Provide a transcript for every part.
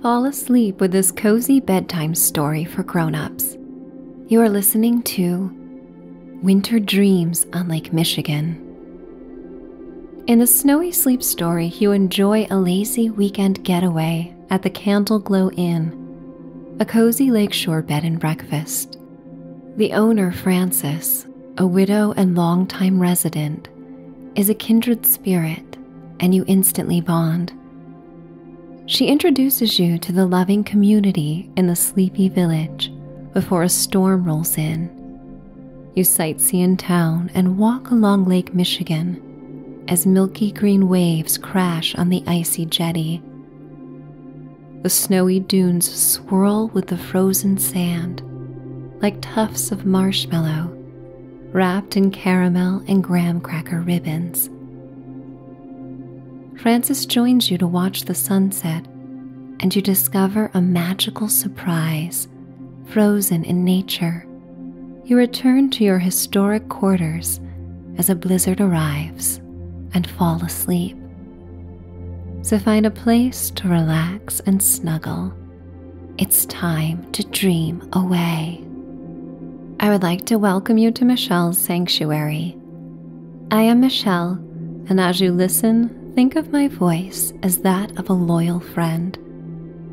Fall asleep with this cozy bedtime story for grown-ups. You are listening to Winter Dreams on Lake Michigan. In the Snowy Sleep story, you enjoy a lazy weekend getaway at the Candle Glow Inn, a cozy lakeshore bed and breakfast. The owner, Frances, a widow and longtime resident, is a kindred spirit and you instantly bond. She introduces you to the loving community in the sleepy village before a storm rolls in. You sightsee in town and walk along Lake Michigan as milky green waves crash on the icy jetty. The snowy dunes swirl with the frozen sand like tufts of marshmallow wrapped in caramel and graham cracker ribbons. Francis joins you to watch the sunset, and you discover a magical surprise frozen in nature. You return to your historic quarters as a blizzard arrives and fall asleep. So find a place to relax and snuggle it's time to dream away. I would like to welcome you to Michelle's Sanctuary. I am Michelle, and as you listen, think of my voice as that of a loyal friend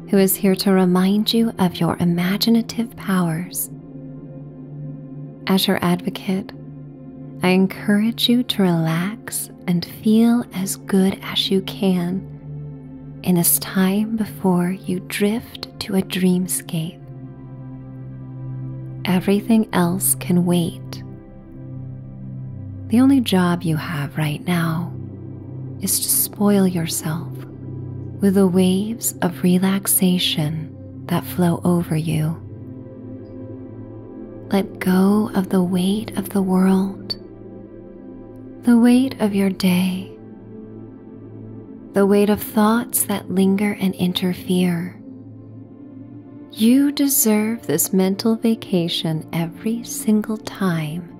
who is here to remind you of your imaginative powers. As your advocate, I encourage you to relax and feel as good as you can in this time before you drift to a dreamscape. Everything else can wait. The only job you have right now is to spoil yourself with the waves of relaxation that flow over you. Let go of the weight of the world the weight of your day, the weight of thoughts that linger and interfere. You deserve this mental vacation every single time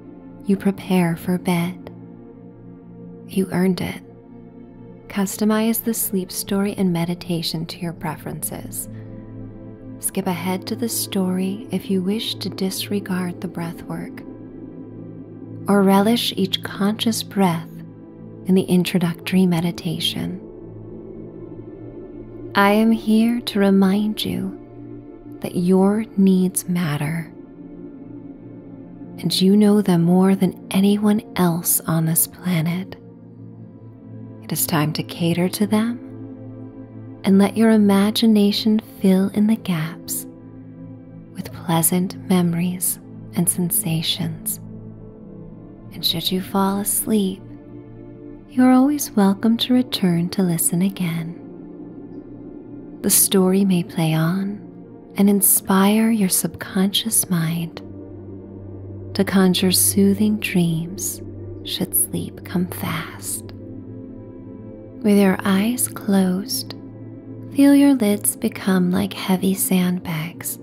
you prepare for bed. You earned it. Customize the sleep story and meditation to your preferences. Skip ahead to the story if you wish to disregard the breath work or relish each conscious breath in the introductory meditation. I am here to remind you that your needs matter, and you know them more than anyone else on this planet. It is time to cater to them and let your imagination fill in the gaps with pleasant memories and sensations. And should you fall asleep, you are always welcome to return to listen again. The story may play on and inspire your subconscious mind to conjure soothing dreams should sleep come fast. With your eyes closed, feel your lids become like heavy sandbags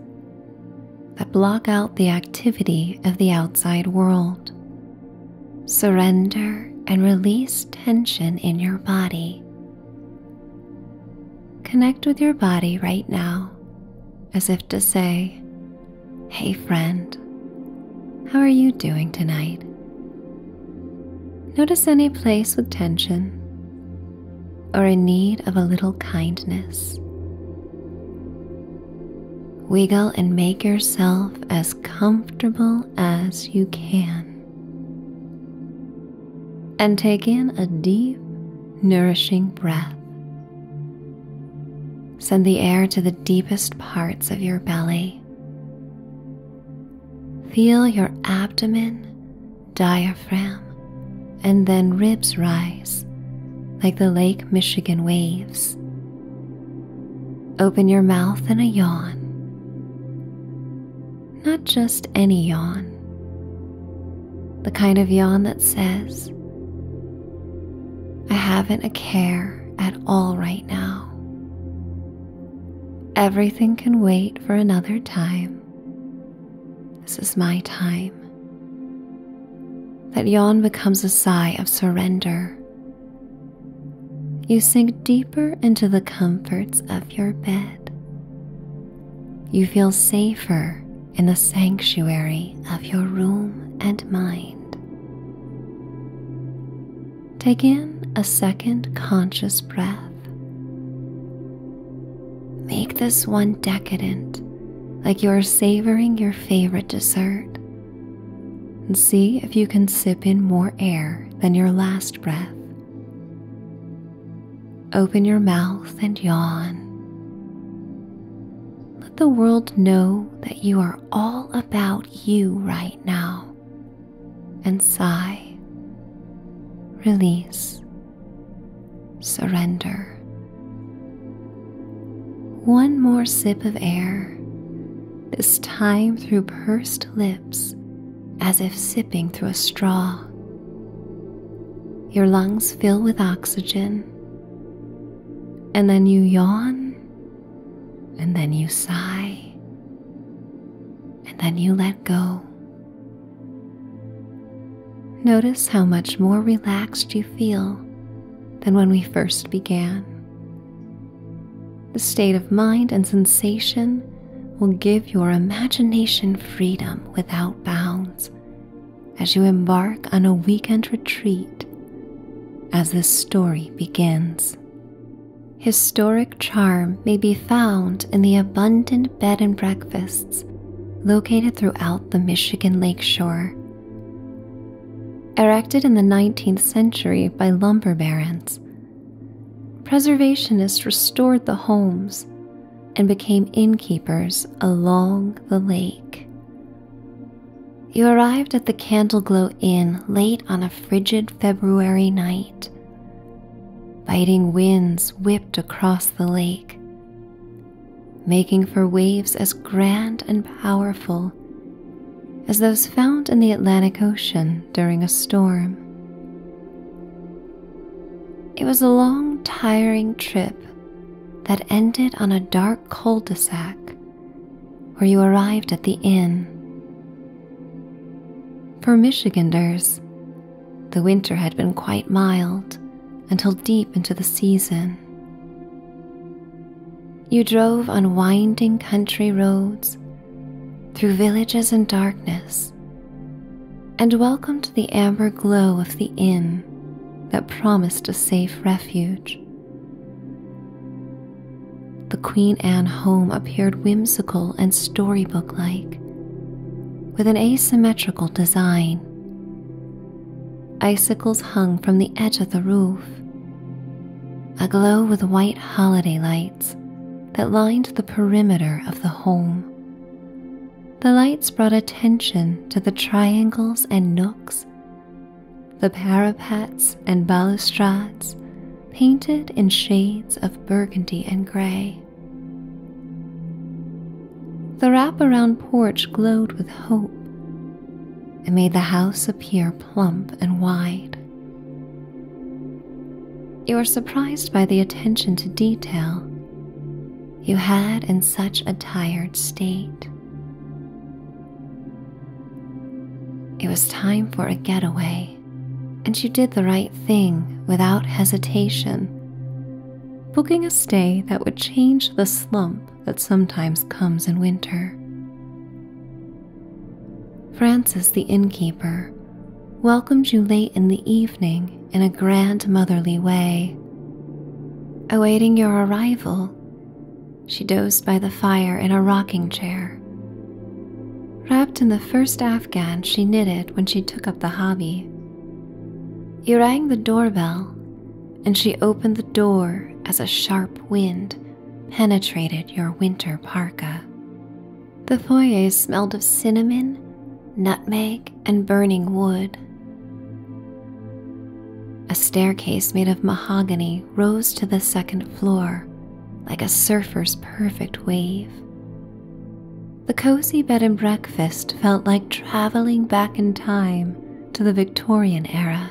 that block out the activity of the outside world. Surrender and release tension in your body. Connect with your body right now as if to say, Hey friend, how are you doing tonight? Notice any place with tension or in need of a little kindness. Wiggle and make yourself as comfortable as you can. And take in a deep, nourishing breath. Send the air to the deepest parts of your belly, Feel your abdomen, diaphragm, and then ribs rise like the Lake Michigan waves. Open your mouth in a yawn. Not just any yawn, the kind of yawn that says, I haven't a care at all right now. Everything can wait for another time. This is my time. That yawn becomes a sigh of surrender. You sink deeper into the comforts of your bed. You feel safer in the sanctuary of your room and mind. Take in a second conscious breath. Make this one decadent, like you are savoring your favorite dessert. And see if you can sip in more air than your last breath. Open your mouth and yawn. Let the world know that you are all about you right now and sigh, release, surrender. One more sip of air, this time through pursed lips as if sipping through a straw. Your lungs fill with oxygen, and then you yawn and then you sigh, and then you let go. Notice how much more relaxed you feel than when we first began. The state of mind and sensation will give your imagination freedom without bounds as you embark on a weekend retreat as this story begins. Historic charm may be found in the abundant bed and breakfasts located throughout the Michigan lakeshore. Erected in the 19th century by lumber barons, preservationists restored the homes and became innkeepers along the lake. You arrived at the Candle Glow Inn late on a frigid February night. Biting winds whipped across the lake, making for waves as grand and powerful as those found in the Atlantic Ocean during a storm. It was a long, tiring trip that ended on a dark cul de sac where you arrived at the inn. For Michiganders, the winter had been quite mild until deep into the season. You drove on winding country roads, through villages in darkness, and welcomed the amber glow of the inn that promised a safe refuge. The Queen Anne home appeared whimsical and storybook like, with an asymmetrical design. Icicles hung from the edge of the roof, aglow with white holiday lights that lined the perimeter of the home. The lights brought attention to the triangles and nooks, the parapets and balustrades painted in shades of burgundy and gray. The wraparound porch glowed with hope and made the house appear plump and wide. You were surprised by the attention to detail you had in such a tired state. It was time for a getaway and you did the right thing without hesitation. Booking a stay that would change the slump that sometimes comes in winter. Francis, the innkeeper, welcomed you late in the evening in a grandmotherly way. Awaiting your arrival, she dozed by the fire in a rocking chair Wrapped in the first afghan she knitted when she took up the hobby. you rang the doorbell, and she opened the door as a sharp wind penetrated your winter parka. The foyer smelled of cinnamon, nutmeg, and burning wood. A staircase made of mahogany rose to the second floor like a surfer's perfect wave. The cozy bed and breakfast felt like traveling back in time to the Victorian era.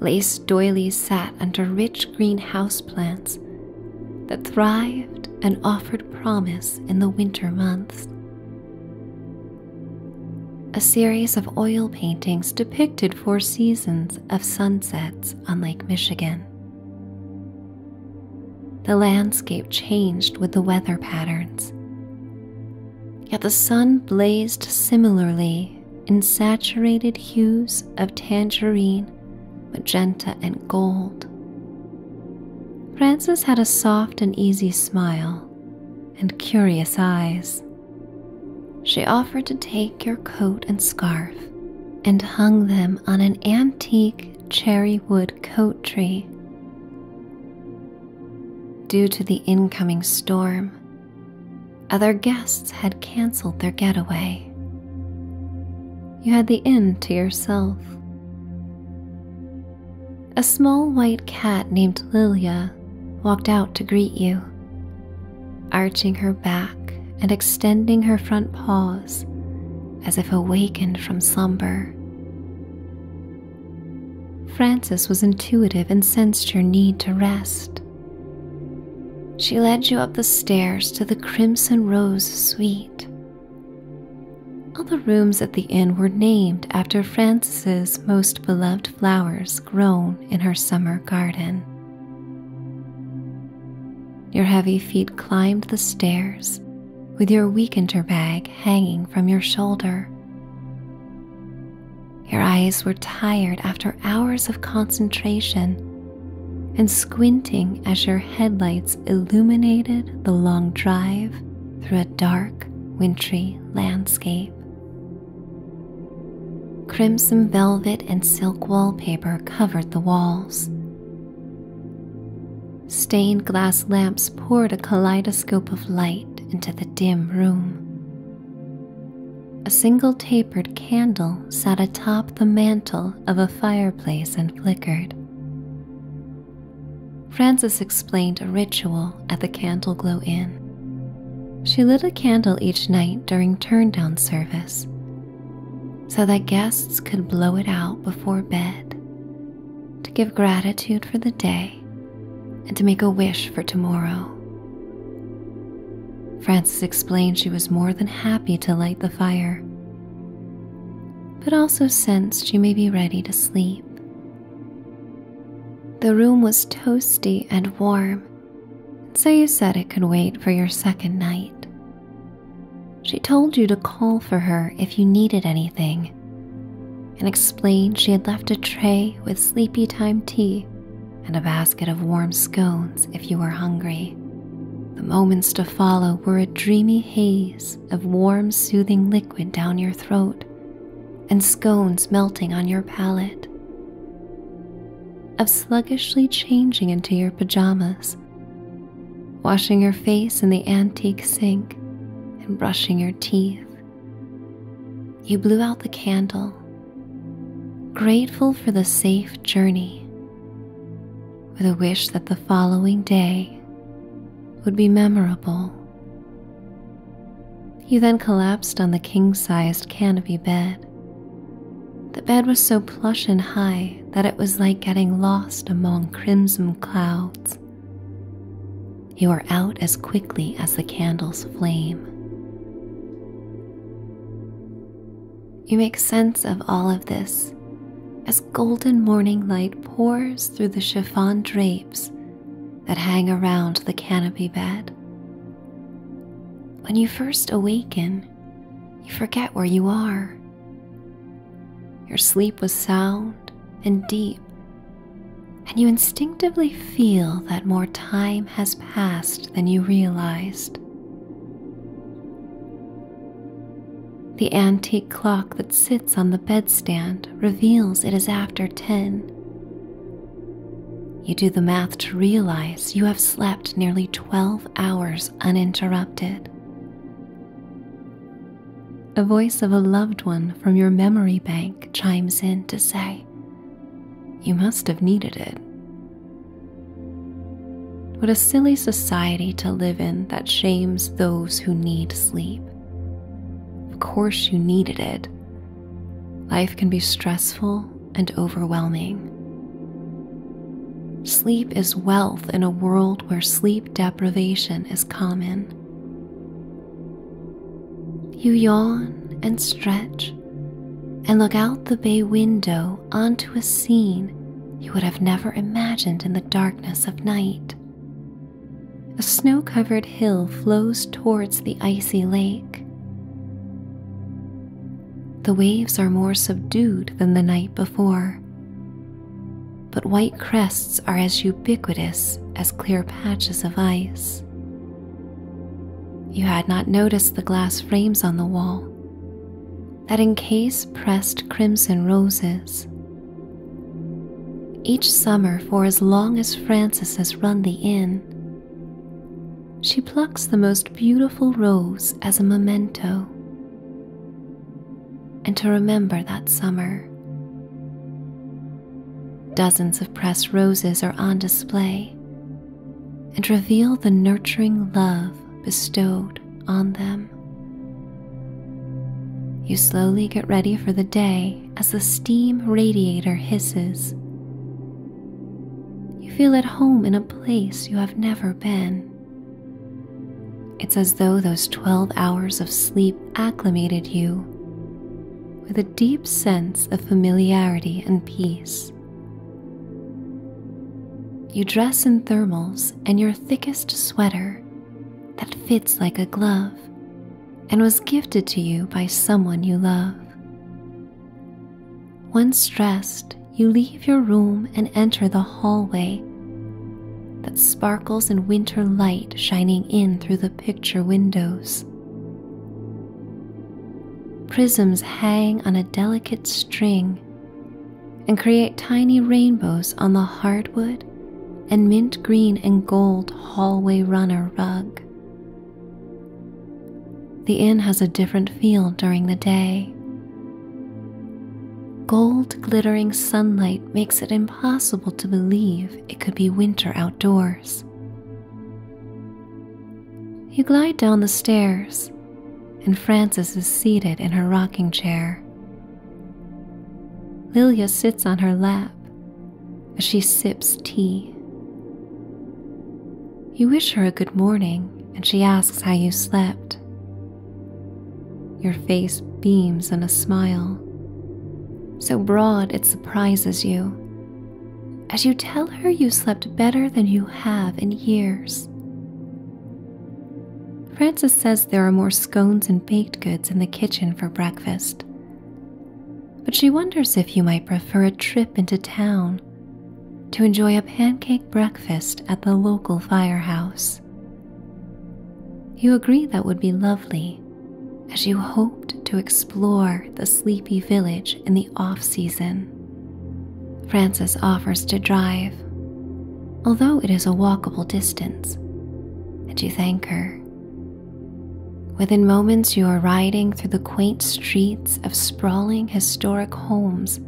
Lace doilies sat under rich green houseplants that thrived and offered promise in the winter months. A series of oil paintings depicted four seasons of sunsets on Lake Michigan. The landscape changed with the weather patterns, yet the sun blazed similarly in saturated hues of tangerine, magenta, and gold. Francis had a soft and easy smile and curious eyes she offered to take your coat and scarf and hung them on an antique cherry wood coat tree. Due to the incoming storm, other guests had canceled their getaway. You had the inn to yourself. A small white cat named Lilia walked out to greet you arching her back and extending her front paws as if awakened from slumber. Frances was intuitive and sensed your need to rest. She led you up the stairs to the Crimson Rose Suite. All the rooms at the inn were named after Frances's most beloved flowers grown in her summer garden. Your heavy feet climbed the stairs with your weekender bag hanging from your shoulder. Your eyes were tired after hours of concentration and squinting as your headlights illuminated the long drive through a dark, wintry landscape. Crimson velvet and silk wallpaper covered the walls. Stained glass lamps poured a kaleidoscope of light into the dim room. A single tapered candle sat atop the mantel of a fireplace and flickered. Frances explained a ritual at the Candle Glow Inn. She lit a candle each night during turn-down service so that guests could blow it out before bed to give gratitude for the day and to make a wish for tomorrow. Frances explained she was more than happy to light the fire, but also sensed she may be ready to sleep. The room was toasty and warm, and so you said it could wait for your second night. She told you to call for her if you needed anything and explained she had left a tray with sleepy time tea and a basket of warm scones if you were hungry. The moments to follow were a dreamy haze of warm, soothing liquid down your throat and scones melting on your palate of sluggishly changing into your pajamas, washing your face in the antique sink, and brushing your teeth. You blew out the candle, grateful for the safe journey, with a wish that the following day would be memorable. You then collapsed on the king sized canopy bed, the bed was so plush and high that it was like getting lost among crimson clouds. You are out as quickly as the candle's flame. You make sense of all of this as golden morning light pours through the chiffon drapes that hang around the canopy bed. When you first awaken, you forget where you are. Your sleep was sound and deep, and you instinctively feel that more time has passed than you realized. The antique clock that sits on the bedstand reveals it is after 10. You do the math to realize you have slept nearly 12 hours uninterrupted. A voice of a loved one from your memory bank chimes in to say, You must have needed it. What a silly society to live in that shames those who need sleep. Of course, you needed it. Life can be stressful and overwhelming. Sleep is wealth in a world where sleep deprivation is common. You yawn and stretch and look out the bay window onto a scene you would have never imagined in the darkness of night. A snow covered hill flows towards the icy lake. The waves are more subdued than the night before. But white crests are as ubiquitous as clear patches of ice. You had not noticed the glass frames on the wall that encase pressed crimson roses. Each summer, for as long as Frances has run the inn, she plucks the most beautiful rose as a memento and to remember that summer. Dozens of pressed roses are on display and reveal the nurturing love bestowed on them. You slowly get ready for the day as the steam radiator hisses you feel at home in a place you have never been. It's as though those 12 hours of sleep acclimated you with a deep sense of familiarity and peace. You dress in thermals and your thickest sweater that fits like a glove and was gifted to you by someone you love. Once dressed, you leave your room and enter the hallway that sparkles in winter light shining in through the picture windows. Prisms hang on a delicate string and create tiny rainbows on the hardwood and mint green and gold hallway runner rug. The inn has a different feel during the day. Gold glittering sunlight makes it impossible to believe it could be winter outdoors. You glide down the stairs, and Frances is seated in her rocking chair. Lilia sits on her lap as she sips tea. You wish her a good morning and she asks how you slept. Your face beams in a smile, so broad it surprises you, as you tell her you slept better than you have in years. Frances says there are more scones and baked goods in the kitchen for breakfast, but she wonders if you might prefer a trip into town to enjoy a pancake breakfast at the local firehouse. You agree that would be lovely as you hoped to explore the sleepy village in the off season. Frances offers to drive, although it is a walkable distance, and you thank her. Within moments, you are riding through the quaint streets of sprawling historic homes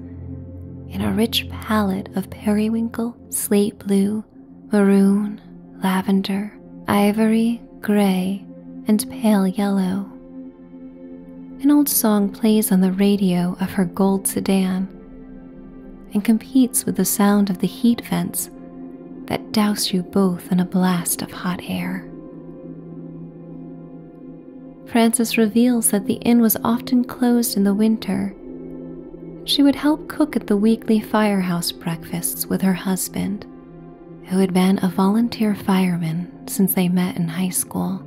in a rich palette of periwinkle, slate blue, maroon, lavender, ivory, gray, and pale yellow. An old song plays on the radio of her gold sedan and competes with the sound of the heat vents that douse you both in a blast of hot air. Frances reveals that the inn was often closed in the winter. She would help cook at the weekly firehouse breakfasts with her husband, who had been a volunteer fireman since they met in high school.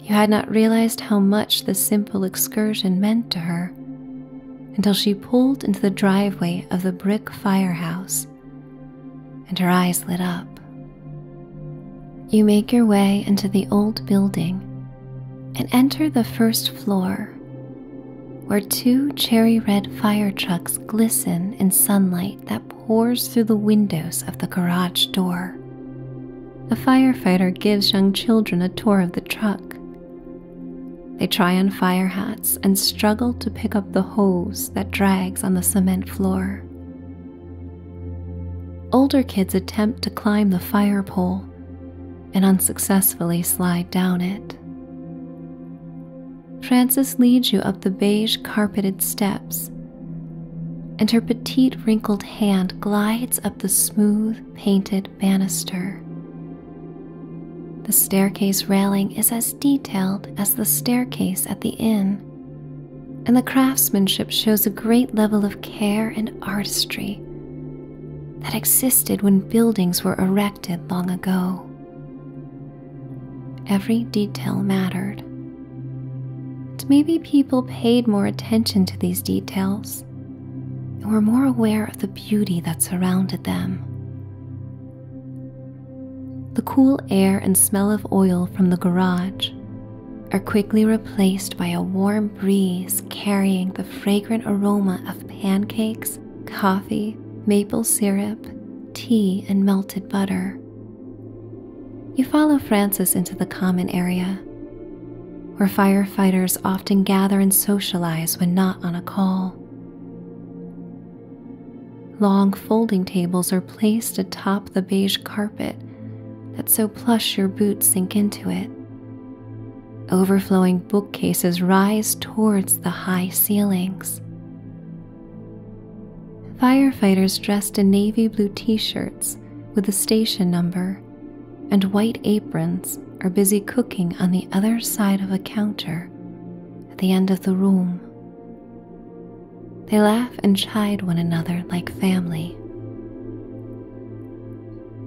You had not realized how much this simple excursion meant to her until she pulled into the driveway of the brick firehouse and her eyes lit up you make your way into the old building and enter the first floor, where two cherry red fire trucks glisten in sunlight that pours through the windows of the garage door. A firefighter gives young children a tour of the truck. They try on fire hats and struggle to pick up the hose that drags on the cement floor. Older kids attempt to climb the fire pole and unsuccessfully slide down it. Frances leads you up the beige carpeted steps, and her petite wrinkled hand glides up the smooth painted banister. The staircase railing is as detailed as the staircase at the inn, and the craftsmanship shows a great level of care and artistry that existed when buildings were erected long ago. Every detail mattered. maybe people paid more attention to these details and were more aware of the beauty that surrounded them. The cool air and smell of oil from the garage are quickly replaced by a warm breeze carrying the fragrant aroma of pancakes, coffee, maple syrup, tea, and melted butter. You follow Francis into the common area, where firefighters often gather and socialize when not on a call. Long folding tables are placed atop the beige carpet that so plush your boots sink into it. Overflowing bookcases rise towards the high ceilings. Firefighters dressed in navy blue t shirts with a station number and white aprons are busy cooking on the other side of a counter at the end of the room. They laugh and chide one another like family.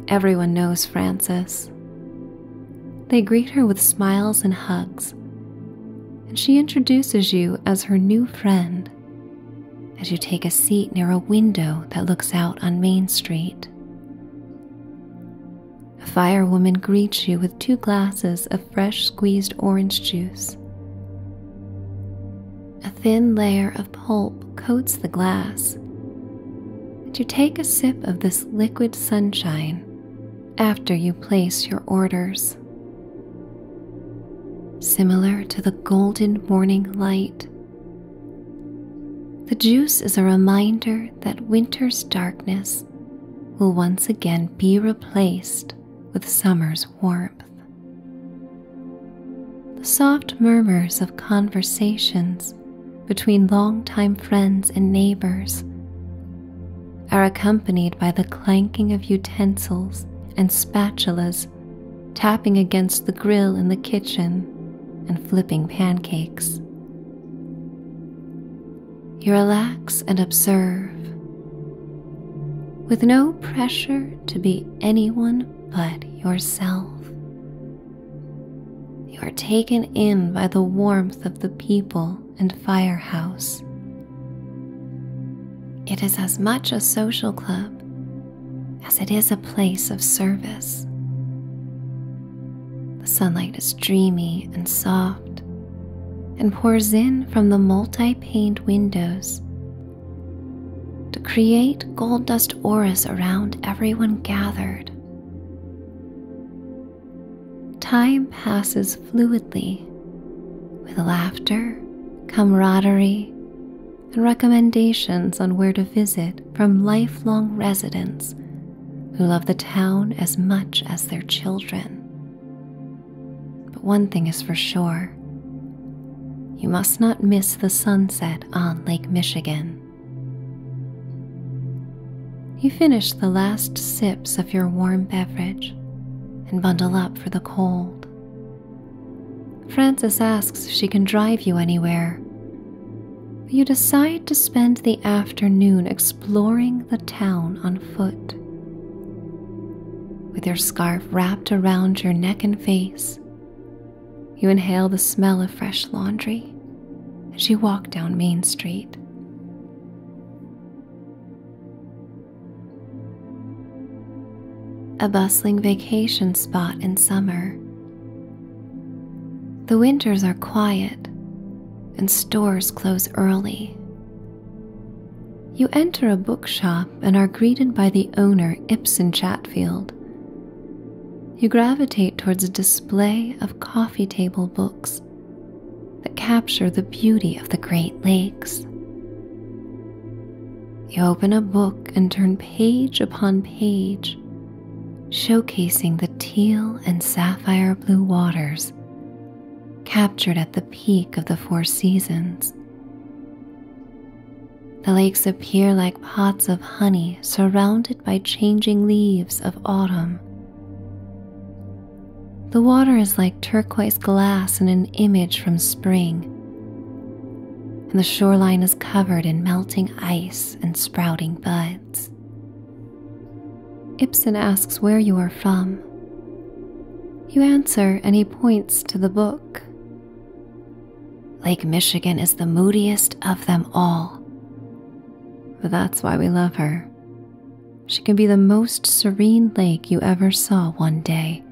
Everyone knows Frances. They greet her with smiles and hugs, and she introduces you as her new friend as you take a seat near a window that looks out on Main Street. A firewoman greets you with two glasses of fresh squeezed orange juice. A thin layer of pulp coats the glass. To take a sip of this liquid sunshine after you place your orders. Similar to the golden morning light, the juice is a reminder that winter's darkness will once again be replaced with summer's warmth. The soft murmurs of conversations between longtime friends and neighbors are accompanied by the clanking of utensils and spatulas tapping against the grill in the kitchen and flipping pancakes. You relax and observe with no pressure to be anyone but yourself. You are taken in by the warmth of the people and firehouse. It is as much a social club as it is a place of service. The sunlight is dreamy and soft and pours in from the multi paned windows to create gold dust auras around everyone gathered. Time passes fluidly with laughter, camaraderie, and recommendations on where to visit from lifelong residents who love the town as much as their children. But one thing is for sure you must not miss the sunset on Lake Michigan. You finish the last sips of your warm beverage and bundle up for the cold. Frances asks if she can drive you anywhere. you decide to spend the afternoon exploring the town on foot. With your scarf wrapped around your neck and face, you inhale the smell of fresh laundry as you walk down Main Street. A bustling vacation spot in summer. The winters are quiet and stores close early you enter a bookshop and are greeted by the owner, Ibsen Chatfield. You gravitate towards a display of coffee table books that capture the beauty of the Great Lakes. You open a book and turn page upon page, showcasing the teal and sapphire blue waters captured at the peak of the Four Seasons. The lakes appear like pots of honey surrounded by changing leaves of autumn. The water is like turquoise glass in an image from spring, and the shoreline is covered in melting ice and sprouting buds. Ibsen asks where you are from. You answer, and he points to the book Lake Michigan is the moodiest of them all. But that's why we love her. She can be the most serene lake you ever saw one day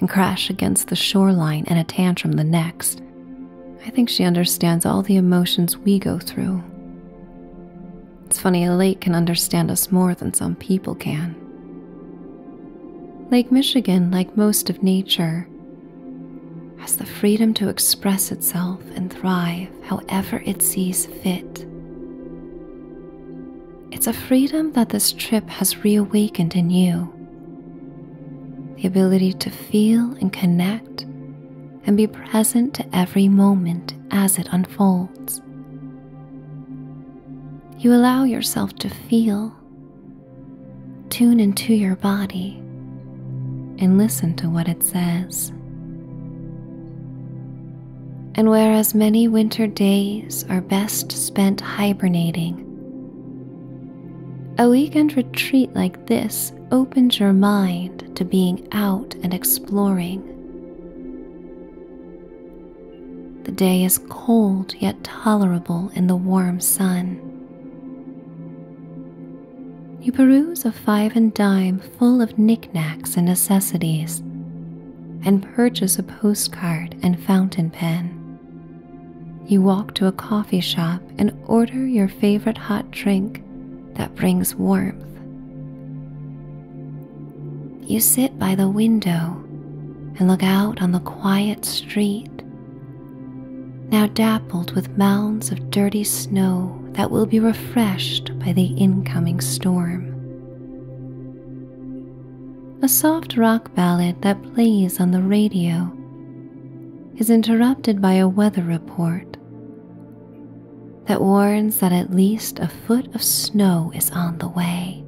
and crash against the shoreline in a tantrum the next. I think she understands all the emotions we go through. It's funny, a lake can understand us more than some people can. Lake Michigan, like most of nature, has the freedom to express itself and thrive however it sees fit. It's a freedom that this trip has reawakened in you. The ability to feel and connect and be present to every moment as it unfolds. You allow yourself to feel Tune into your body and listen to what it says. And whereas many winter days are best spent hibernating, a weekend retreat like this opens your mind to being out and exploring. The day is cold yet tolerable in the warm sun. You peruse a five and dime full of knickknacks and necessities, and purchase a postcard and fountain pen. You walk to a coffee shop and order your favorite hot drink that brings warmth you sit by the window and look out on the quiet street, now dappled with mounds of dirty snow that will be refreshed by the incoming storm. A soft rock ballad that plays on the radio is interrupted by a weather report that warns that at least a foot of snow is on the way.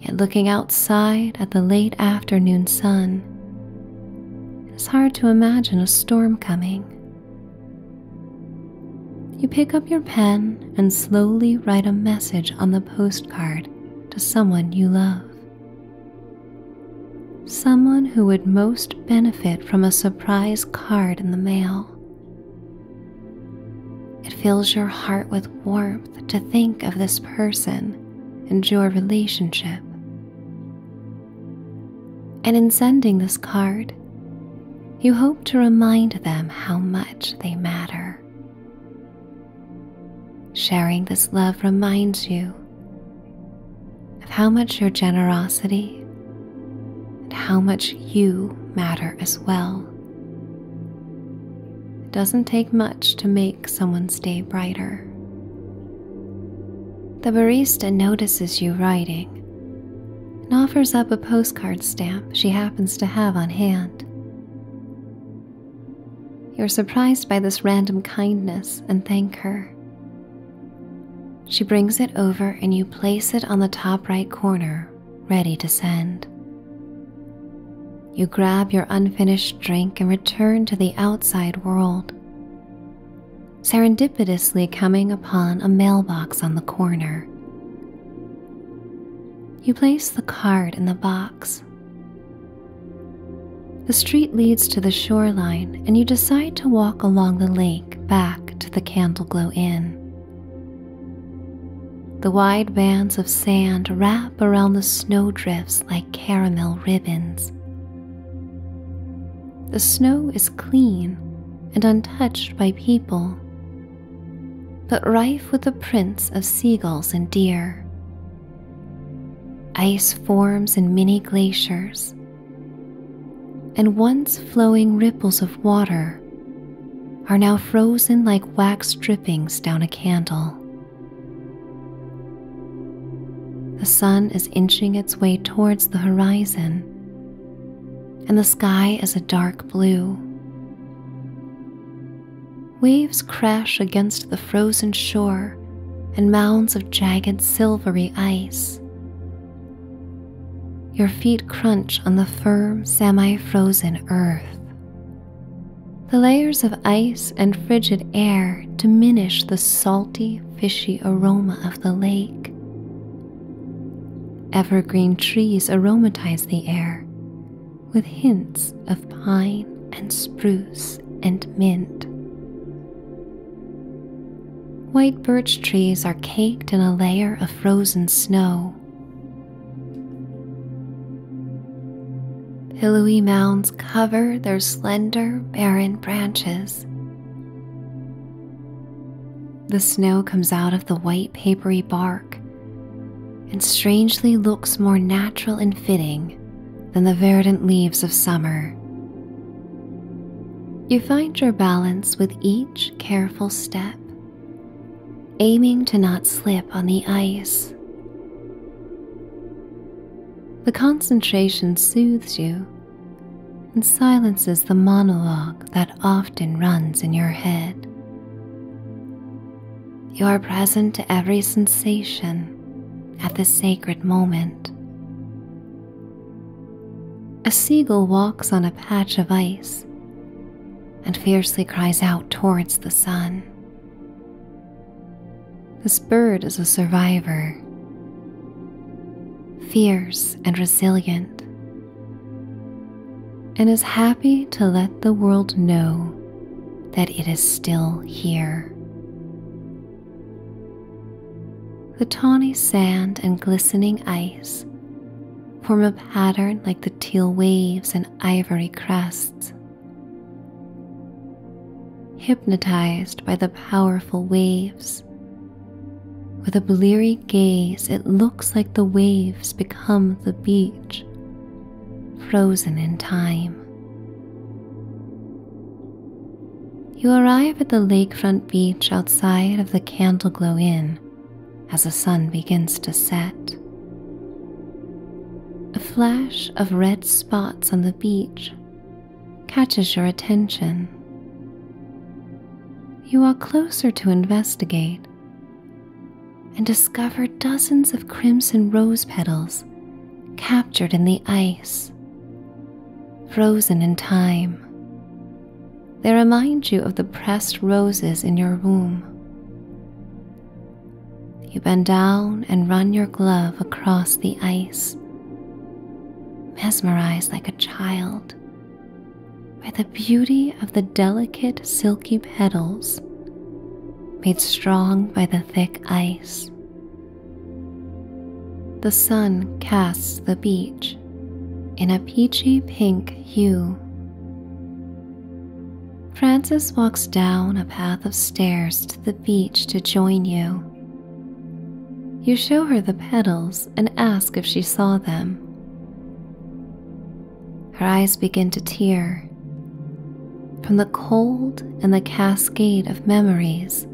Yet looking outside at the late afternoon sun, it is hard to imagine a storm coming. You pick up your pen and slowly write a message on the postcard to someone you love. Someone who would most benefit from a surprise card in the mail. It fills your heart with warmth to think of this person and your relationship. And in sending this card, you hope to remind them how much they matter. Sharing this love reminds you of how much your generosity and how much you matter as well. It doesn't take much to make someone's day brighter. The barista notices you writing and offers up a postcard stamp she happens to have on hand. You're surprised by this random kindness and thank her. She brings it over and you place it on the top right corner ready to send. You grab your unfinished drink and return to the outside world, serendipitously coming upon a mailbox on the corner. You place the card in the box. The street leads to the shoreline, and you decide to walk along the lake back to the Candleglow Inn. The wide bands of sand wrap around the snowdrifts like caramel ribbons. The snow is clean and untouched by people, but rife with the prints of seagulls and deer. Ice forms in many glaciers, and once flowing ripples of water are now frozen like wax drippings down a candle. The sun is inching its way towards the horizon, and the sky is a dark blue. Waves crash against the frozen shore and mounds of jagged silvery ice. Your feet crunch on the firm, semi frozen earth. The layers of ice and frigid air diminish the salty, fishy aroma of the lake. Evergreen trees aromatize the air with hints of pine and spruce and mint. White birch trees are caked in a layer of frozen snow, Pillowy mounds cover their slender, barren branches. The snow comes out of the white, papery bark and strangely looks more natural and fitting than the verdant leaves of summer. You find your balance with each careful step aiming to not slip on the ice. The concentration soothes you and silences the monologue that often runs in your head. You are present to every sensation at this sacred moment. A seagull walks on a patch of ice and fiercely cries out towards the sun. This bird is a survivor, fierce and resilient, and is happy to let the world know that it is still here. The tawny sand and glistening ice form a pattern like the teal waves and ivory crests. Hypnotized by the powerful waves, with a bleary gaze, it looks like the waves become the beach, frozen in time. You arrive at the lakefront beach outside of the Candle Glow Inn as the sun begins to set. A flash of red spots on the beach catches your attention. You are closer to investigate and discover dozens of crimson rose petals captured in the ice, frozen in time. They remind you of the pressed roses in your room you bend down and run your glove across the ice, mesmerized like a child by the beauty of the delicate silky petals made strong by the thick ice. The sun casts the beach in a peachy pink you. Frances, walks down a path of stairs to the beach to join you. You show her the petals and ask if she saw them. Her eyes begin to tear from the cold and the cascade of memories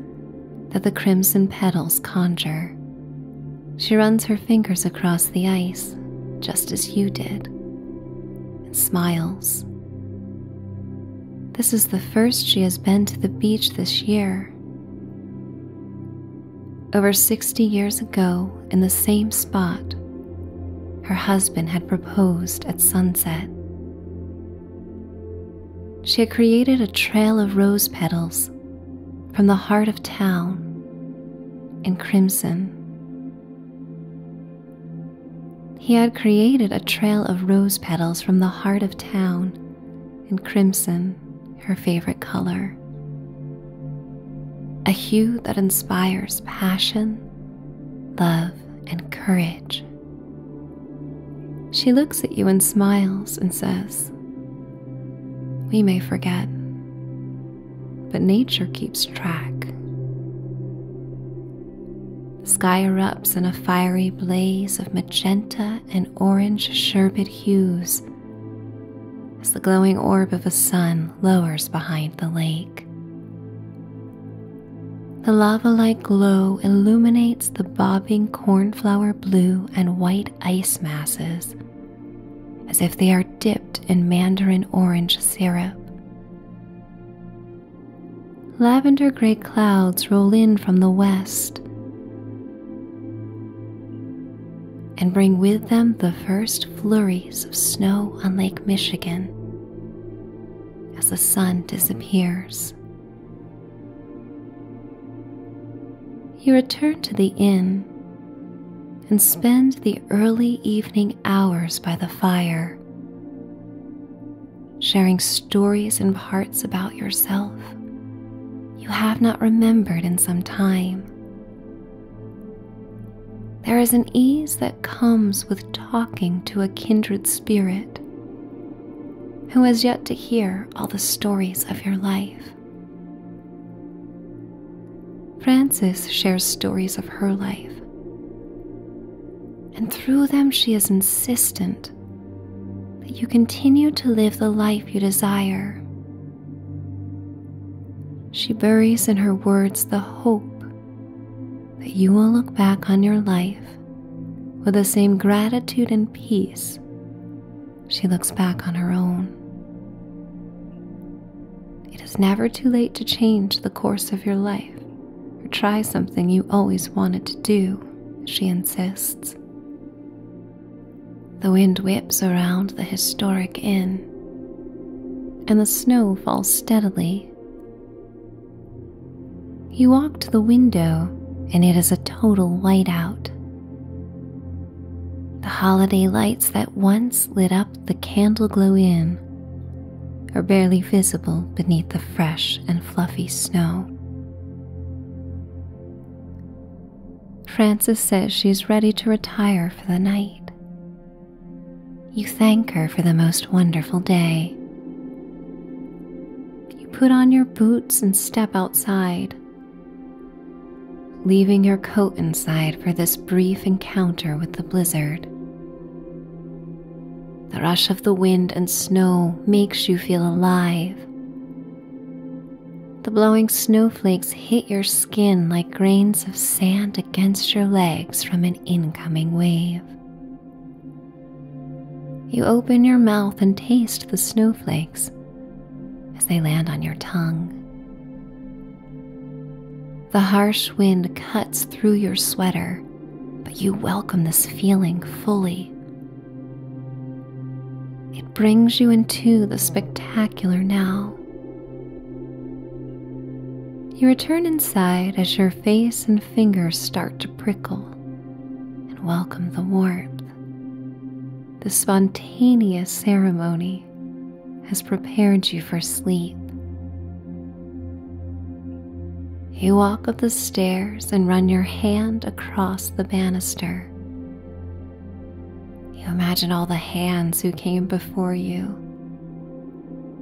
that the crimson petals conjure. She runs her fingers across the ice, just as you did and smiles. This is the first she has been to the beach this year. Over 60 years ago, in the same spot, her husband had proposed at sunset. She had created a trail of rose petals from the heart of town in crimson he had created a trail of rose petals from the heart of town in crimson, her favorite color. A hue that inspires passion, love, and courage. She looks at you and smiles and says, We may forget, but nature keeps track. The sky erupts in a fiery blaze of magenta and orange sherbet hues as the glowing orb of a sun lowers behind the lake. The lava like glow illuminates the bobbing cornflower blue and white ice masses as if they are dipped in mandarin orange syrup. Lavender gray clouds roll in from the west and bring with them the first flurries of snow on Lake Michigan as the sun disappears. You return to the inn and spend the early evening hours by the fire, sharing stories and hearts about yourself you have not remembered in some time. There is an ease that comes with talking to a kindred spirit who has yet to hear all the stories of your life. Frances shares stories of her life, and through them, she is insistent that you continue to live the life you desire. She buries in her words the hope that you will look back on your life with the same gratitude and peace she looks back on her own. It is never too late to change the course of your life or try something you always wanted to do, she insists. The wind whips around the historic inn, and the snow falls steadily. You walk to the window, and it is a total whiteout. The holiday lights that once lit up the candle glow in, are barely visible beneath the fresh and fluffy snow. Frances says she's ready to retire for the night. You thank her for the most wonderful day. You put on your boots and step outside, leaving your coat inside for this brief encounter with the blizzard. The rush of the wind and snow makes you feel alive. The blowing snowflakes hit your skin like grains of sand against your legs from an incoming wave. You open your mouth and taste the snowflakes as they land on your tongue. The harsh wind cuts through your sweater, but you welcome this feeling fully. It brings you into the spectacular now. You return inside as your face and fingers start to prickle and welcome the warmth. The spontaneous ceremony has prepared you for sleep. You walk up the stairs and run your hand across the banister. You imagine all the hands who came before you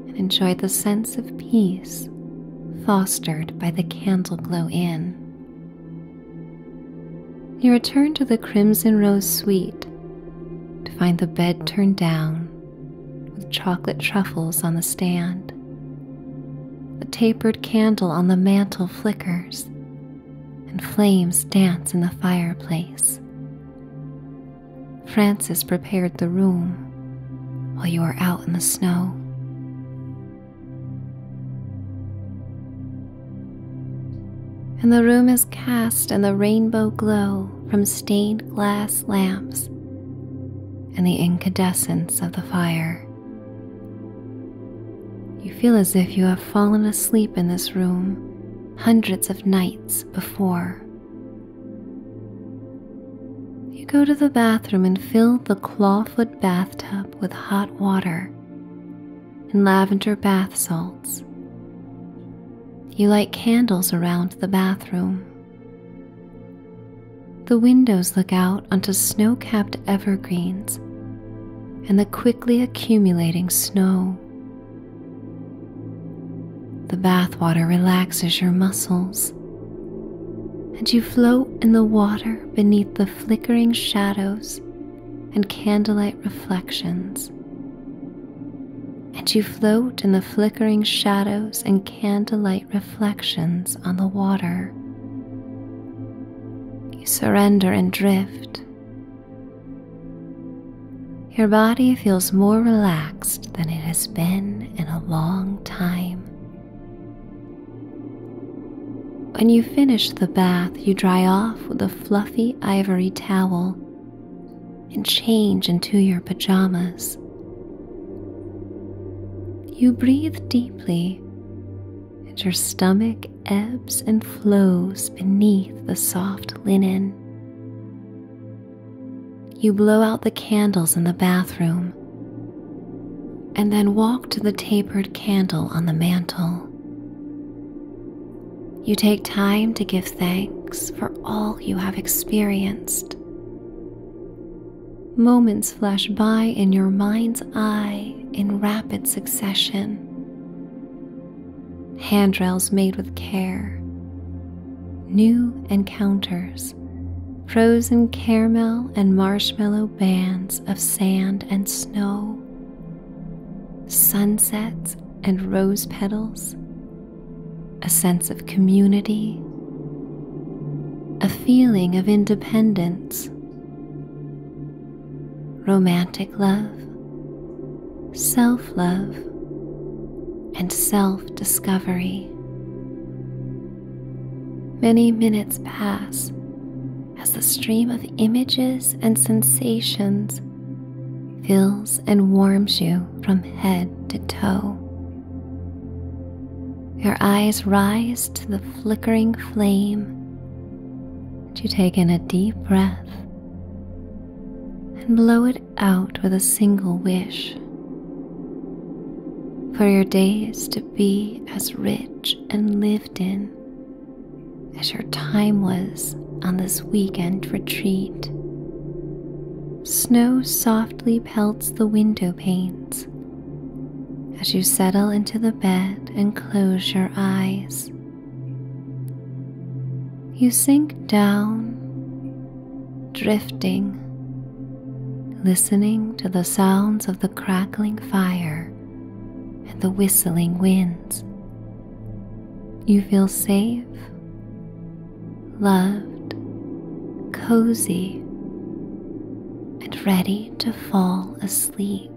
and enjoy the sense of peace fostered by the candle glow In, You return to the Crimson Rose Suite to find the bed turned down with chocolate truffles on the stand. A tapered candle on the mantel flickers, and flames dance in the fireplace. Francis prepared the room while you are out in the snow. And the room is cast in the rainbow glow from stained glass lamps and the incandescence of the fire. You feel as if you have fallen asleep in this room hundreds of nights before. You go to the bathroom and fill the clawfoot bathtub with hot water and lavender bath salts. You light candles around the bathroom. The windows look out onto snow capped evergreens and the quickly accumulating snow. The bathwater relaxes your muscles, and you float in the water beneath the flickering shadows and candlelight reflections and you float in the flickering shadows and candlelight reflections on the water. You surrender and drift. Your body feels more relaxed than it has been in a long time. When you finish the bath, you dry off with a fluffy ivory towel and change into your pajamas. You breathe deeply, and your stomach ebbs and flows beneath the soft linen. You blow out the candles in the bathroom and then walk to the tapered candle on the mantel. You take time to give thanks for all you have experienced. Moments flash by in your mind's eye in rapid succession. Handrails made with care, new encounters, frozen caramel and marshmallow bands of sand and snow, sunsets and rose petals, a sense of community, a feeling of independence, romantic love, self love, and self discovery. Many minutes pass as the stream of images and sensations fills and warms you from head to toe. Your eyes rise to the flickering flame, and you take in a deep breath and blow it out with a single wish for your days to be as rich and lived in as your time was on this weekend retreat. Snow softly pelts the window panes as you settle into the bed and close your eyes. You sink down, drifting, listening to the sounds of the crackling fire and the whistling winds. You feel safe loved, cozy, and ready to fall asleep.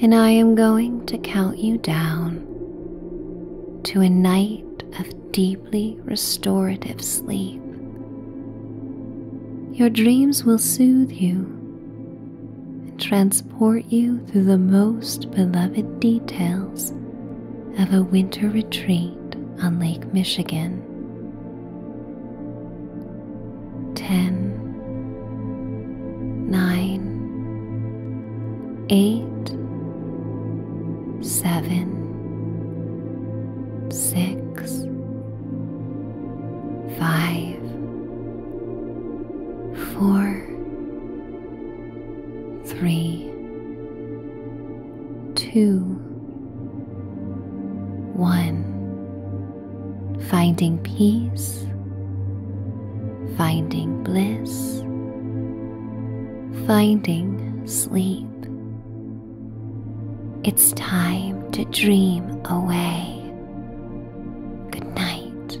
And I am going to count you down to a night of deeply restorative sleep. Your dreams will soothe you and transport support you through the most beloved details of a winter retreat on Lake Michigan. 10, three, two, one. Finding peace, finding bliss, finding sleep. It's time to dream away. Good night.